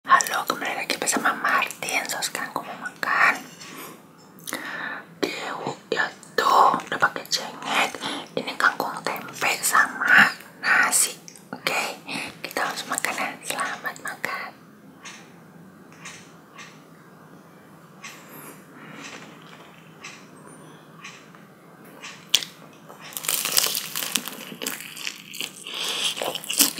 Halo, kembali lagi bersama Martin. So sekarang aku mau makan Dewu yaitu udah pakai cengek. Ini kangkung tempe sama nasi. Oke, kita langsung makan ya. Selamat makan.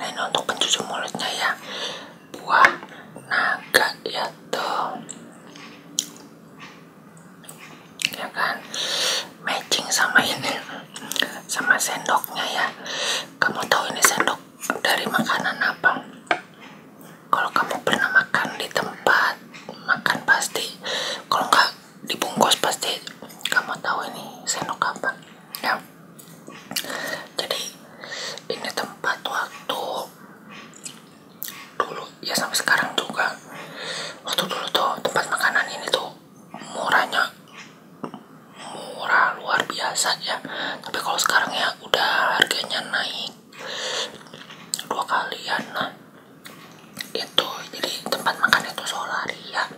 Nah ini untuk pencuci mulutnya ya buah naga ya tuh ya kan matching sama ini sama sendoknya ya kamu tahu ini sendok dari makanan apa kalau kamu pernah makan di tempat makan pasti kalau nggak dibungkus pasti kamu tahu ini sendok apa ya jadi ini tempat waktu dulu ya sampai sekarang juga waktu dulu tuh tempat makanan ini tuh murahnya murah luar biasa ya tapi kalau sekarang ya udah harganya naik dua kalian nah itu jadi tempat makan itu solaria ya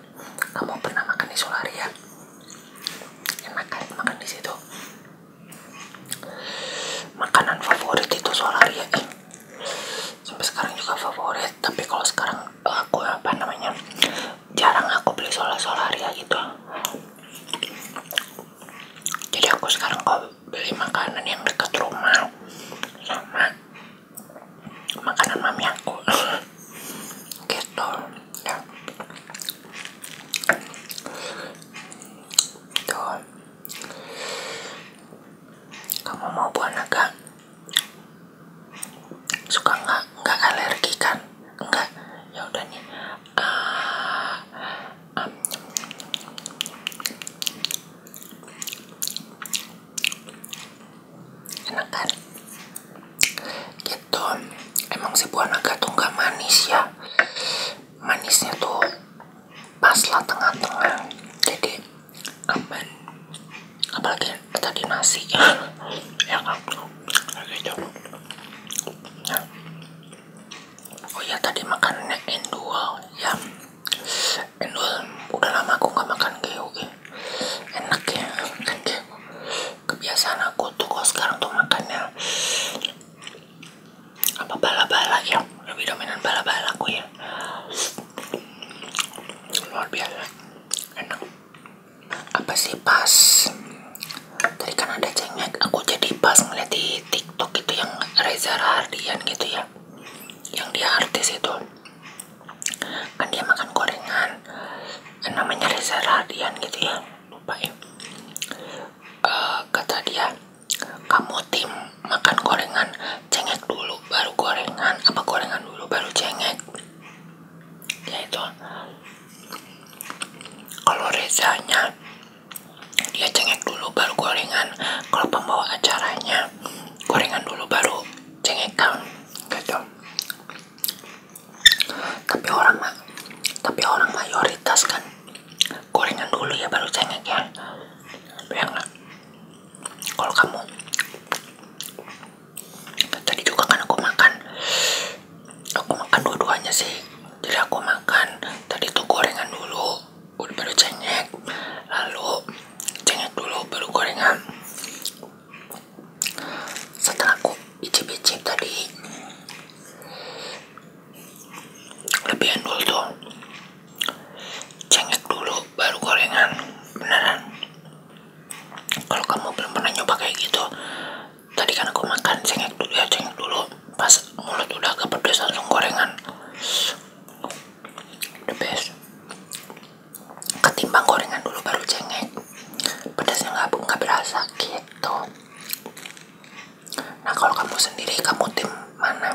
kamu pernah makan di Solaria ya. enak kan makan di situ makanan favorit itu Solaria ya, eh, sampai sekarang juga favorit tapi kalau sekarang eh, aku apa namanya jarang aku beli solar Solaria ya, gitu jadi aku sekarang kalau oh, beli makanan yang dekat rumah sama makanan mami aku gitu ya tuh gitu. kamu mau buah naga suka nggak nggak alergi kan enggak ya udah nih uh, um enak kan gitu emang si buah naga tuh nggak manis ya manisnya tuh pas lah tengah-tengah jadi aman apalagi tadi nasi ya kan gitu nah. oh ya tadi makannya endul ya endul udah lama aku gak makan oke enak ya kan kayak kebiasaan aku tuh kok sekarang tuh makannya apa bala-bala ya lebih dominan bala-bala aku ya luar biasa enak apa sih pas tadi kan ada cengek aku jadi pas ngeliat di tiktok itu yang Reza Rahardian gitu ya yang dia artis itu kan dia makan gorengan kan namanya Reza Radian gitu ya lupa ya eh, kata dia kamu tim makan gorengan cengek dulu baru gorengan apa gorengan dulu baru cengek ya itu kalau Rezanya dia cengek dulu baru gorengan kalau pembawa acaranya gorengan dulu baru cengek kan gitu tapi orang mah tapi orang mayoritas kan gorengan dulu ya baru cengek ya ya lah kalau kamu tadi juga kan aku makan aku makan dua-duanya sih jadi aku makan tadi tuh gorengan dulu udah baru cengek lalu cengek dulu baru gorengan setelah aku icip-icip tadi lebih endul tuh cengek dulu baru gorengan beneran kalau kamu belum pernah nyoba kayak gitu tadi kan aku makan cengek dulu ya cengek dulu pas mulut udah agak pedas langsung gorengan the best ketimbang gorengan dulu baru cengek pedasnya nggak nggak berasa gitu nah kalau kamu sendiri kamu tim mana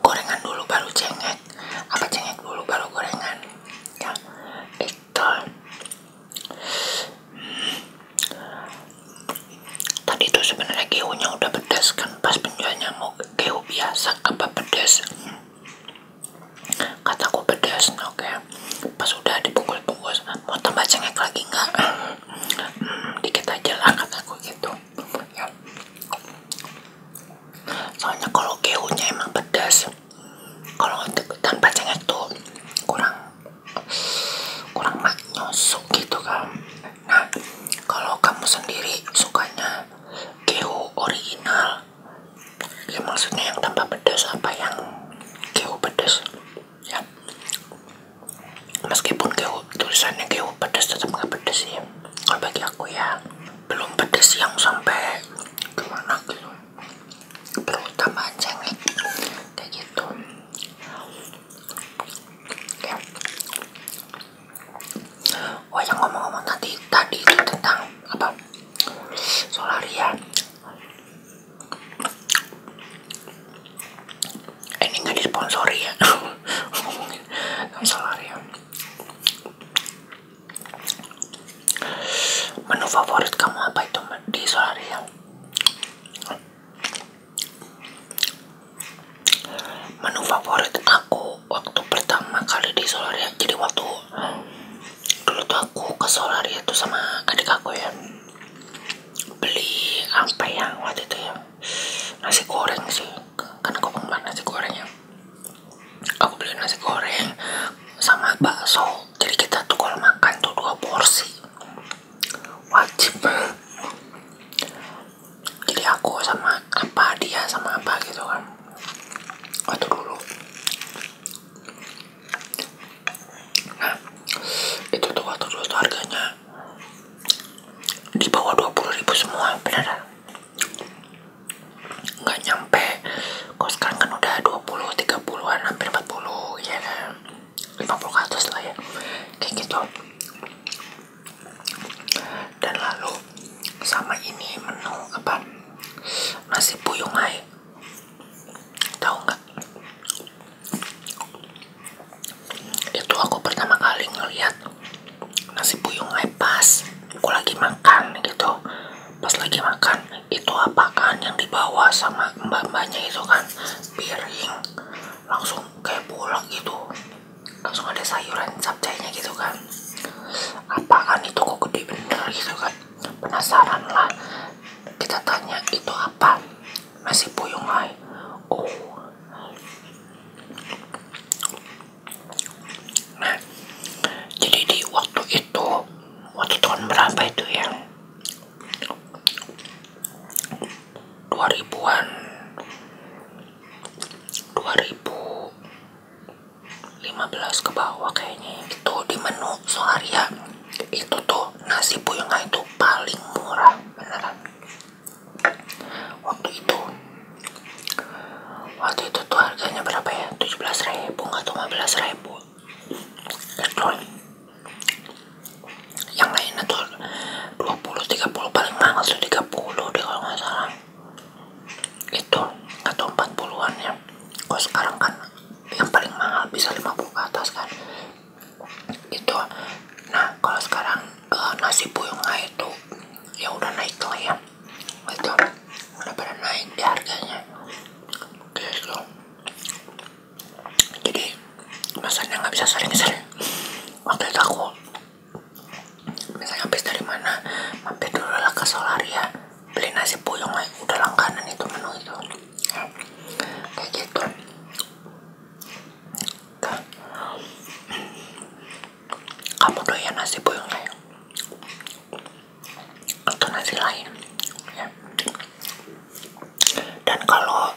gorengan dulu baru cengek apa cengek dulu baru gorengan ya itu tadi itu sebenarnya keonya udah pedas kan pas penjualnya mau keo biasa apa pedas kataku pedas oke pas udah dibungkus-bungkus mau tambah cengek lagi nggak hmm, dikit aja lah kataku gitu ya. soalnya kalau keunya emang pedas kalau tanpa cengek tuh kurang kurang nyosok gitu kan nah kalau kamu sendiri sukanya keu original ya maksudnya yang tambah pedas apa yang keu pedas ya meskipun keu tulisannya keu pedas tetap nggak pedas ya kalau bagi aku ya belum pedas yang sampai gimana gitu tambah cengek kayak gitu ya Wah oh, yang ngomong-ngomong tadi tadi tentang apa solaria eh, ini nggak disponsori ya ngomongin solaria menu favorit kamu apa itu di solaria menu favorit aku waktu pertama kali di Solaria jadi waktu dulu tuh aku ke Solaria tuh sama adik aku ya beli apa ya waktu itu ya nasi goreng sih kan aku penggemar nasi gorengnya aku beli nasi goreng sama bakso jadi kita tuh kalau makan tuh dua porsi wajib jadi aku sama apa dia sama apa gitu kan atur dulu nah itu tuh atur dulu tuh harganya di bawah dua puluh ribu semua bener nggak nyampe Kau sekarang kan udah dua puluh, tiga puluh an hampir puluh, ya lima puluh ke lah ya kayak gitu dan lalu sama ini menu apa nasi puyung hai tahu nggak itu aku pertama kali ngeliat nasi puyung hai pas aku lagi makan gitu pas lagi makan itu apaan yang dibawa sama mbak-mbaknya itu kan piring langsung kayak bolak gitu langsung ada sayuran capcaynya gitu kan apaan itu kok gede bener gitu kan penasaran lah kita tanya itu apa masih puyung oh nah jadi di waktu itu waktu tahun berapa itu ya 2000-an 2000 15 ke bawah kayaknya ya. itu di menu Solaria itu tuh nasi puyengnya itu paling murah beneran waktu itu waktu itu tuh harganya berapa ya 17 ribu atau 15 ribu yang lainnya tuh 20-30 paling mahal tuh 30 deh kalau nggak salah itu atau empat an ya sekarang kan yang paling mahal bisa lima puluh ke atas kan itu nah kalau sekarang uh, nasi buyungnya itu ya udah naik lah ya itu udah pada naik di harganya gitu jadi masanya nggak bisa sering-sering waktu itu aku misalnya habis dari mana mampir dulu lah ke Solaria beli nasi puyong aja. udah langganan itu menu itu kayak gitu kamu doyan nasi puyong ya? atau nasi lain ya. dan kalau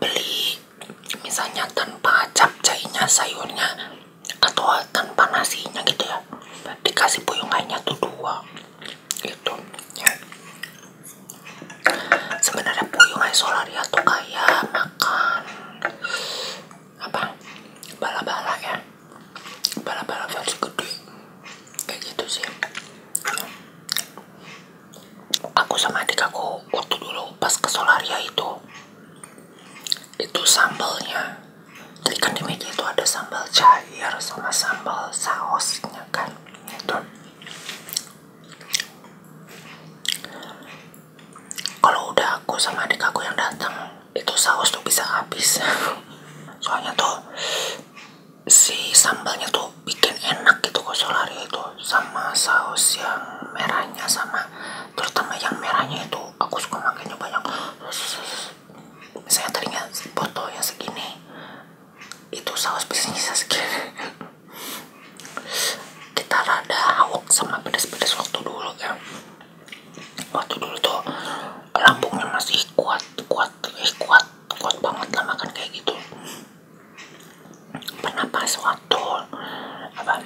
beli misalnya tanpa capcainya sayurnya atau tanpa nasinya gitu ya dikasih puyungannya tuh dua gitu ya sebenarnya puyungan solaria tuh kayak makan apa bala-bala ya bala-bala versi gede kayak gitu sih aku sama adik aku waktu dulu pas ke solaria itu itu sambalnya jadi kan di meja itu ada sambal cair sama sambal sausnya kan itu kalau udah aku sama adik aku yang datang itu saus tuh bisa habis soalnya tuh si sambalnya tuh bikin enak gitu kosolari itu sama saus yang merahnya sama terutama yang merahnya itu aku suka makainya banyak misalnya teringat botol yang segini itu saus biasanya segini kita rada awok sama pedes-pedes waktu dulu ya waktu dulu tuh lambungnya masih kuat kuat eh, kuat kuat banget lah makan kayak gitu pernah pas mantul apa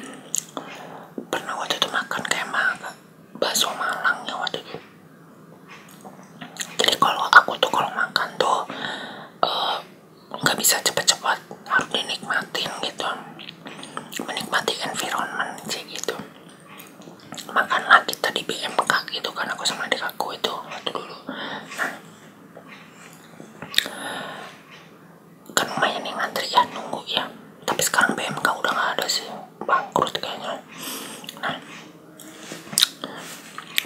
pernah waktu itu makan kayak apa bakso malang ya waktu itu jadi kalau aku tuh kalau makan tuh eh, nggak bisa cepat-cepat harus dinikmatin gitu menikmati environment sih gitu makanlah kita di BMK gitu kan aku sama adik aku itu waktu dulu nah, kan lumayan yang ngantri ya nunggu ya tapi sekarang BMK udah nggak ada sih bangkrut kayaknya nah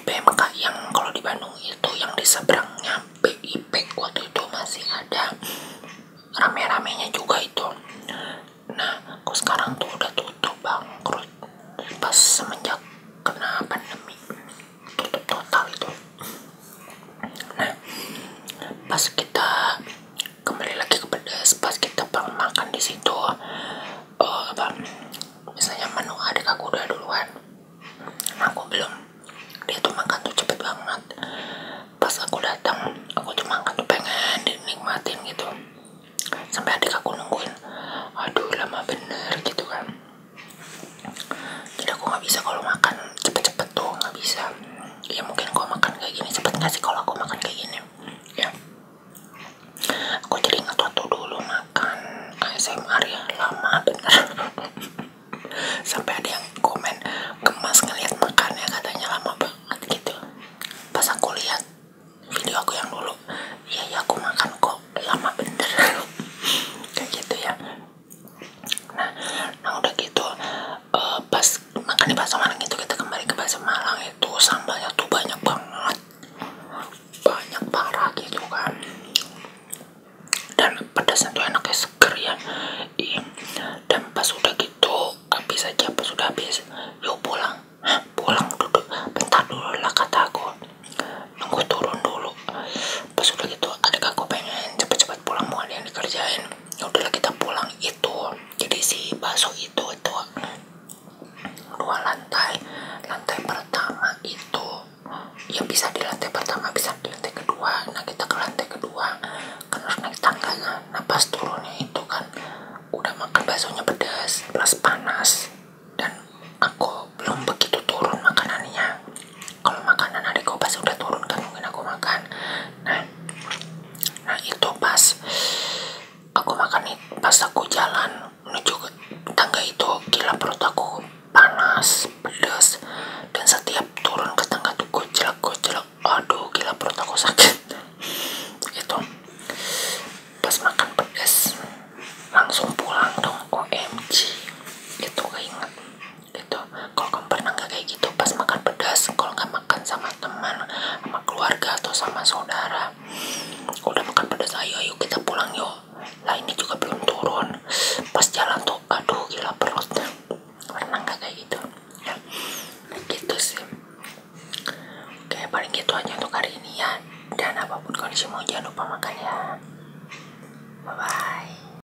BMK yang kalau di Bandung itu yang di seberangnya BIP waktu itu masih ada rame-ramenya juga itu nah kok sekarang tuh udah tutup bangkrut pas semenjak kena pandemi tutup total itu nah pas kita kembali lagi ke pedas pas kita pernah makan di situ uh, apa misalnya menu adik aku udah duluan aku belum dia tuh makan tuh cepet banget pas aku datang aku tuh makan tuh pengen dinikmatin gitu sampai adik aku nungguin aduh lama bener gitu kan jadi aku nggak bisa kalau makan cepet-cepet tuh nggak bisa ya mungkin kau makan kayak gini cepet nggak sih kalau aku makan kayak gini ya aku jadi ingat waktu dulu makan ASMR ya lama bener sampai ada yang komen kemas ngeliat makannya katanya lama banget gitu pas aku lihat video aku yang dulu ya ya aku makan kok lama bener kayak gitu ya Nah, nah, udah gitu eh, pas makan di bakso Malang itu kita kembali ke bakso Malang itu sambalnya tuh banyak banget banyak parah gitu kan dan pedasnya tuh enaknya seger ya iya. dan pas udah gitu habis aja pas udah habis yuk pulang pulang duduk bentar dulu lah kata aku nunggu turun dulu pas udah gitu adik aku pengen cepet-cepet pulang mau ada yang dikerjain ya udahlah kita pulang itu jadi si bakso itu itu dua lantai lantai pertama itu yang bisa di lantai pertama bisa di lantai kedua nah kita ke lantai kedua kan harus naik tangga ya. nah pas turunnya itu kan udah makan baksonya pedas plus panas dan aku belum begitu turun makanannya kalau makanan adik gue pas udah turun kan mungkin aku makan nah nah itu pas aku makan pas aku jalan menuju tangga itu gila perut aku panas pedas dan setiap turun ke tangga tuh gojlek gojlek aduh gila perut aku sakit itu pas makan pedes langsung pulang dong OMG itu gak keinget gitu kalau kamu pernah nggak kayak gitu pas makan pedas kalau nggak makan sama teman sama keluarga atau sama saudara udah makan pedas ayo ayo kita pulang yuk lah ini juga belum turun pas jalan tuh aduh gila perut pernah nggak kayak gitu ya gitu sih oke paling gitu aja untuk hari ini ya dan apapun kondisi mau jangan lupa makan ya bye bye